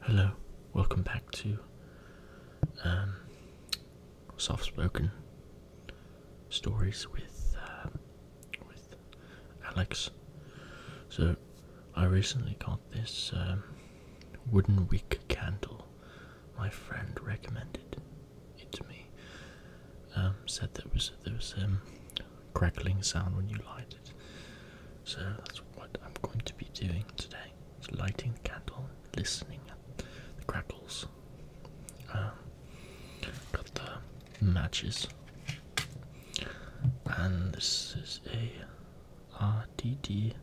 Hello, welcome back to um, soft spoken stories with um, with Alex. So, I recently got this um, wooden wick candle. My friend recommended it to me. said there was there was um, crackling sound when you light so that's what I'm going to be doing today. It's lighting the candle, listening to the crackles. Um, got the matches. And this is a RDD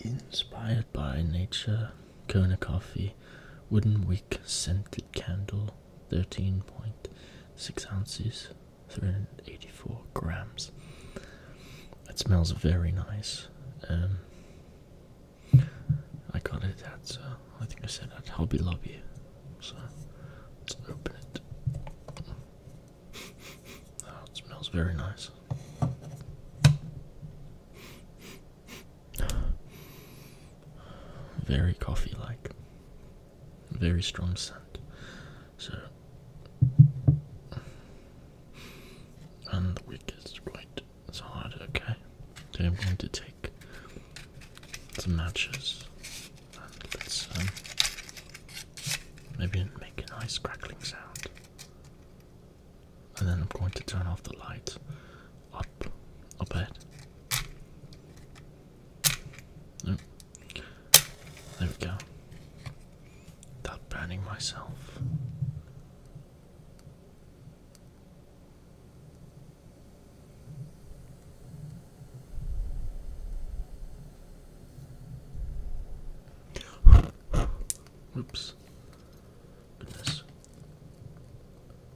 inspired by nature Kona coffee wooden wick scented candle 13.6 ounces 384 grams. It smells very nice. Um, I got it at, uh, I think I said at Hobby Lobby. So let's open it. Oh, it smells very nice. Very coffee like. Very strong scent. So, and the wick is quite it's hard. Okay, Then I'm going to take some matches um, maybe make a nice crackling sound. And then I'm going to turn off the light up, a bit. Oh, there we go. Without branding myself. Oops. Goodness.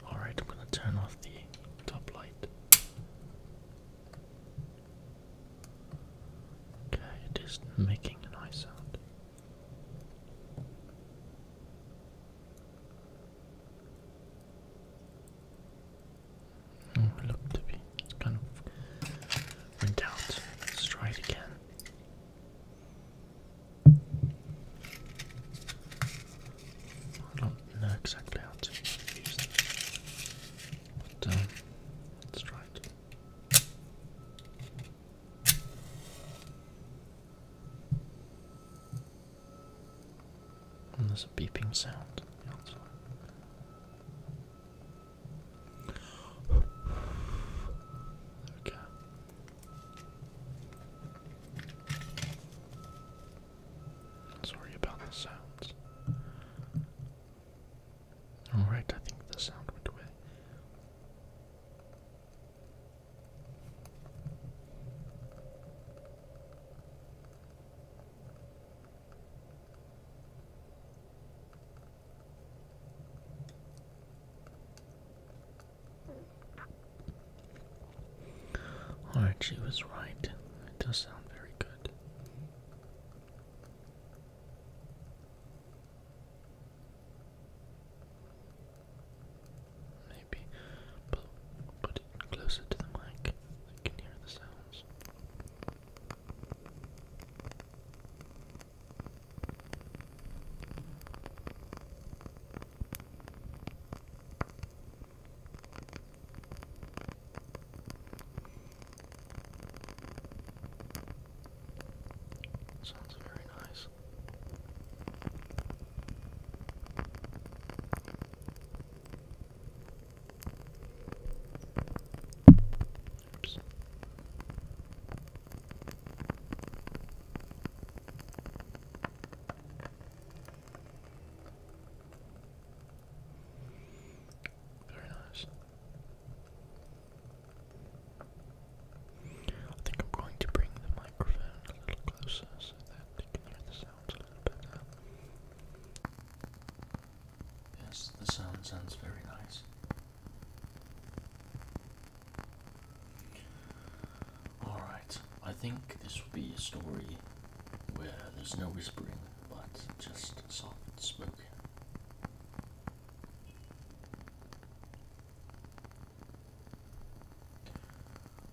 Alright, I'm gonna turn off the top light. Okay, it is making a nice sound. Mm, to be kind of went out. try it again. I don't know exactly how to use them, but let's try it. there's a beeping sound Okay. Sorry about the sounds. Alright, I think the sound went away. Oh, Alright, she was right. It does sound very good. Maybe put it closer to the mic. I can hear the sounds. Sounds very nice. Oops. Very nice. I think I'm going to bring the microphone a little closer so that you can hear the sounds a little better. Yes, the sound sounds very nice. Alright, I think this will be a story where there's no whispering but just soft spoken.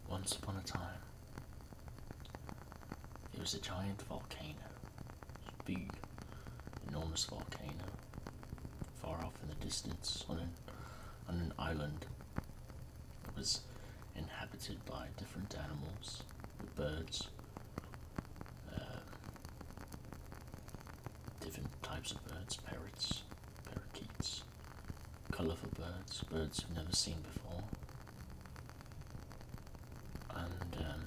Once upon a time, there was a giant volcano, Huge, enormous volcano, far off in the distance on an on an island that was inhabited by different animals, birds, uh, different types of birds, parrots, parakeets, colourful birds, birds you've never seen before. And um,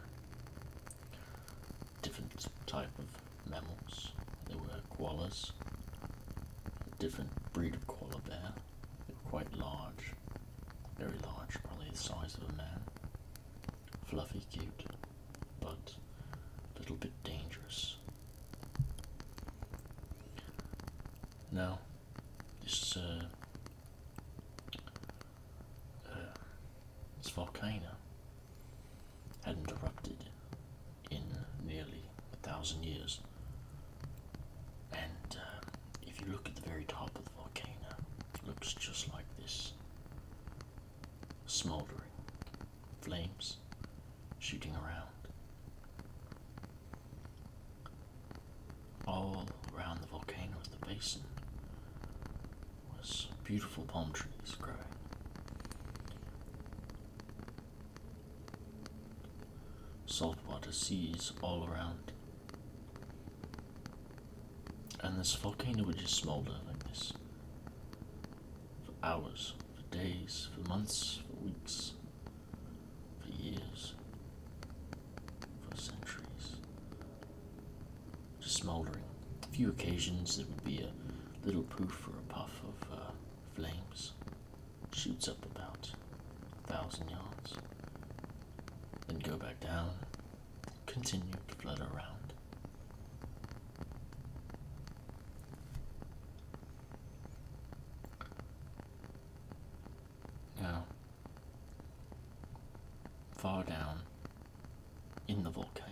different type of mammals. There were koalas, a different breed of koala bear, they're quite large, very large, probably the size of a man. Fluffy, cute, but a little bit dangerous. Now, this uh, uh, this volcano hadn't erupted in nearly a thousand years. And um, if you look at the very top of the volcano, it looks just like this smouldering, flames shooting around. All around the volcano the basin was beautiful palm trees growing saltwater seas all around. And this volcano would just smolder like this for hours, for days, for months, for weeks, for years, for centuries. Just smoldering. A few occasions there would be a little poof or a puff of uh, flames shoots up about a thousand yards, then go back down, continue to flutter around. Now, far down in the volcano,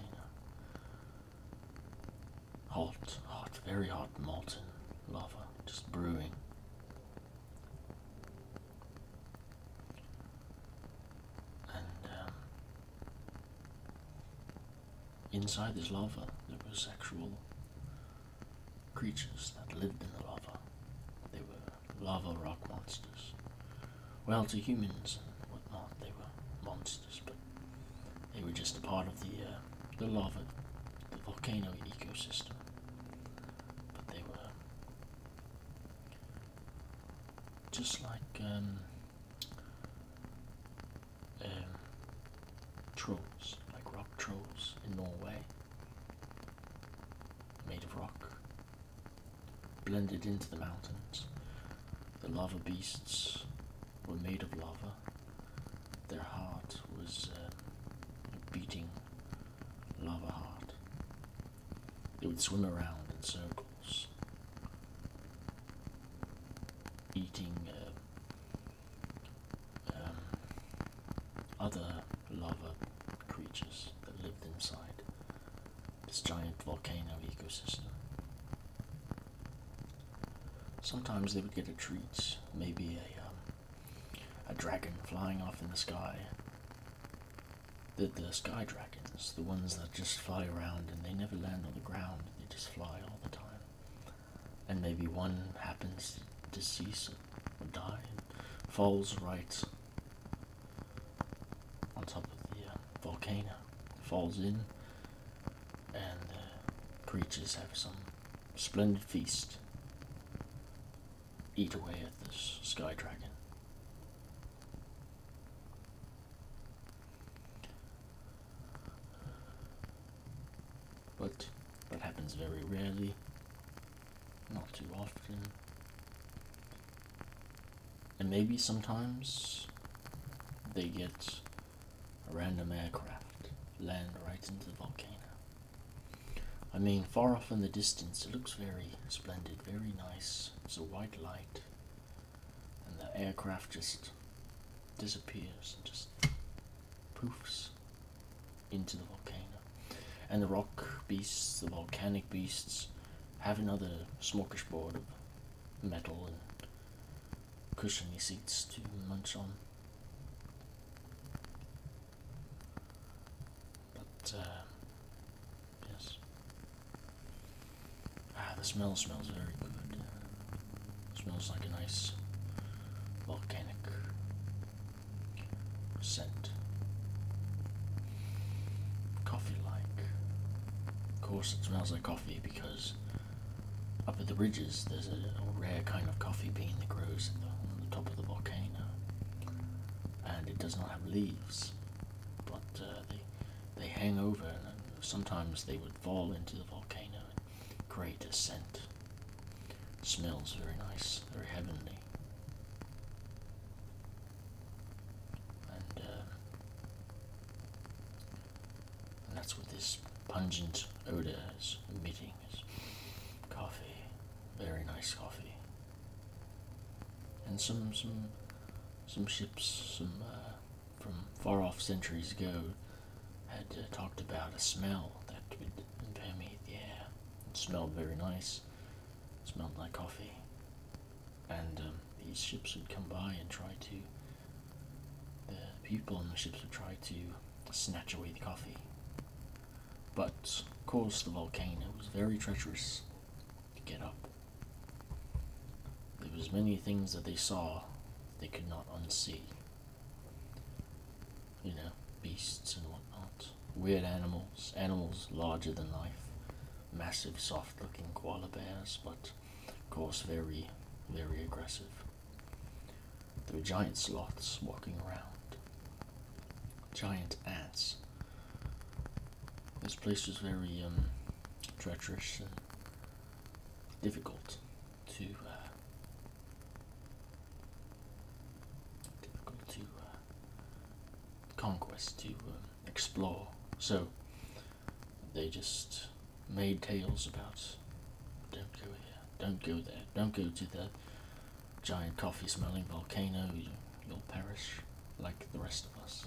Hot, hot, very hot molten lava just brewing. And um, inside this lava, there were actual creatures that lived in the lava. They were lava rock monsters. Well, to humans and whatnot, they were monsters but they were just a part of the uh, the lava, the volcano ecosystem. But they were just like um, um, trolls, like rock trolls in Norway, made of rock, blended into the mountains. The lava beasts were made of lava. Their heart was uh, a beating lava heart. They would swim around in circles, eating uh, um, other lava creatures that lived inside this giant volcano ecosystem. Sometimes they would get a treat, maybe a um, a dragon flying off in the sky. The, the sky dragons, the ones that just fly around and they never land on the ground, they just fly all the time. And maybe one happens to decease or die and falls right on top of the uh, volcano, falls in and the uh, preachers have some splendid feast. Eat away at this sky dragon. But that happens very rarely, not too often. And maybe sometimes they get a random aircraft land right into the volcano. I mean, far off in the distance, it looks very splendid, very nice. It's a white light, and the aircraft just disappears and just poofs into the volcano. And the rock beasts, the volcanic beasts, have another smokish border metal and cushiony seats to munch on. But uh, yes, ah, the smell smells very good. smells like a nice volcanic scent, coffee-like. Of course, it smells like coffee because up at the ridges there's a, rare kind of coffee bean that grows on the top of the volcano, and it does not have leaves, but uh, they they hang over, and sometimes they would fall into the volcano and create a scent. Smells very nice, very heavenly. Uh, and, that's what this pungent odor is emitting is coffee, very nice coffee, and some some some ships some uh, from far off centuries ago had uh, talked about a smell that would permeate the air. It smelled very nice. It smelled like coffee and um, these ships would come by and try to the people on the ships would try to snatch away the coffee but of course the volcano was very treacherous to get up there was many things that they saw they could not unsee you know beasts and whatnot weird animals animals larger than life massive, soft looking koala bears, but of course, very, very aggressive. There were giant sloths walking around, giant ants. This place was very um, treacherous and difficult to uh, difficult to uh, conquest to um, explore. So they just made tales about don't go here, don't go there, don't go to the giant coffee smelling volcano, you'll perish like the rest of us.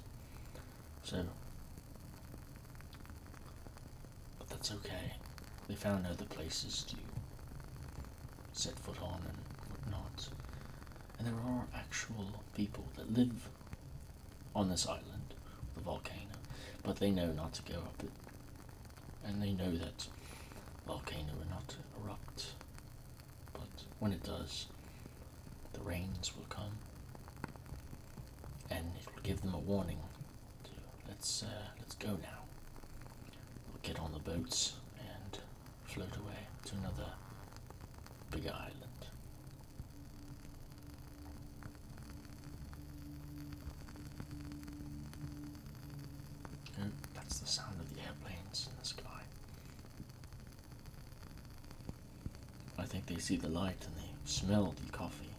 So, but that's okay. They found other places to set foot on and whatnot and there are actual people that live on this island, the volcano, but they know not to go up it, and they know that volcano will not erupt. But when it does, the rains will come, and it will give them a warning. let's uh, let's go now. We'll get on the boats and float away to another big island. that's the sound of the airplanes in the sky. I think they see the light and they smell the coffee.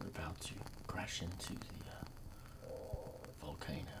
We're about to crash into the uh, volcano.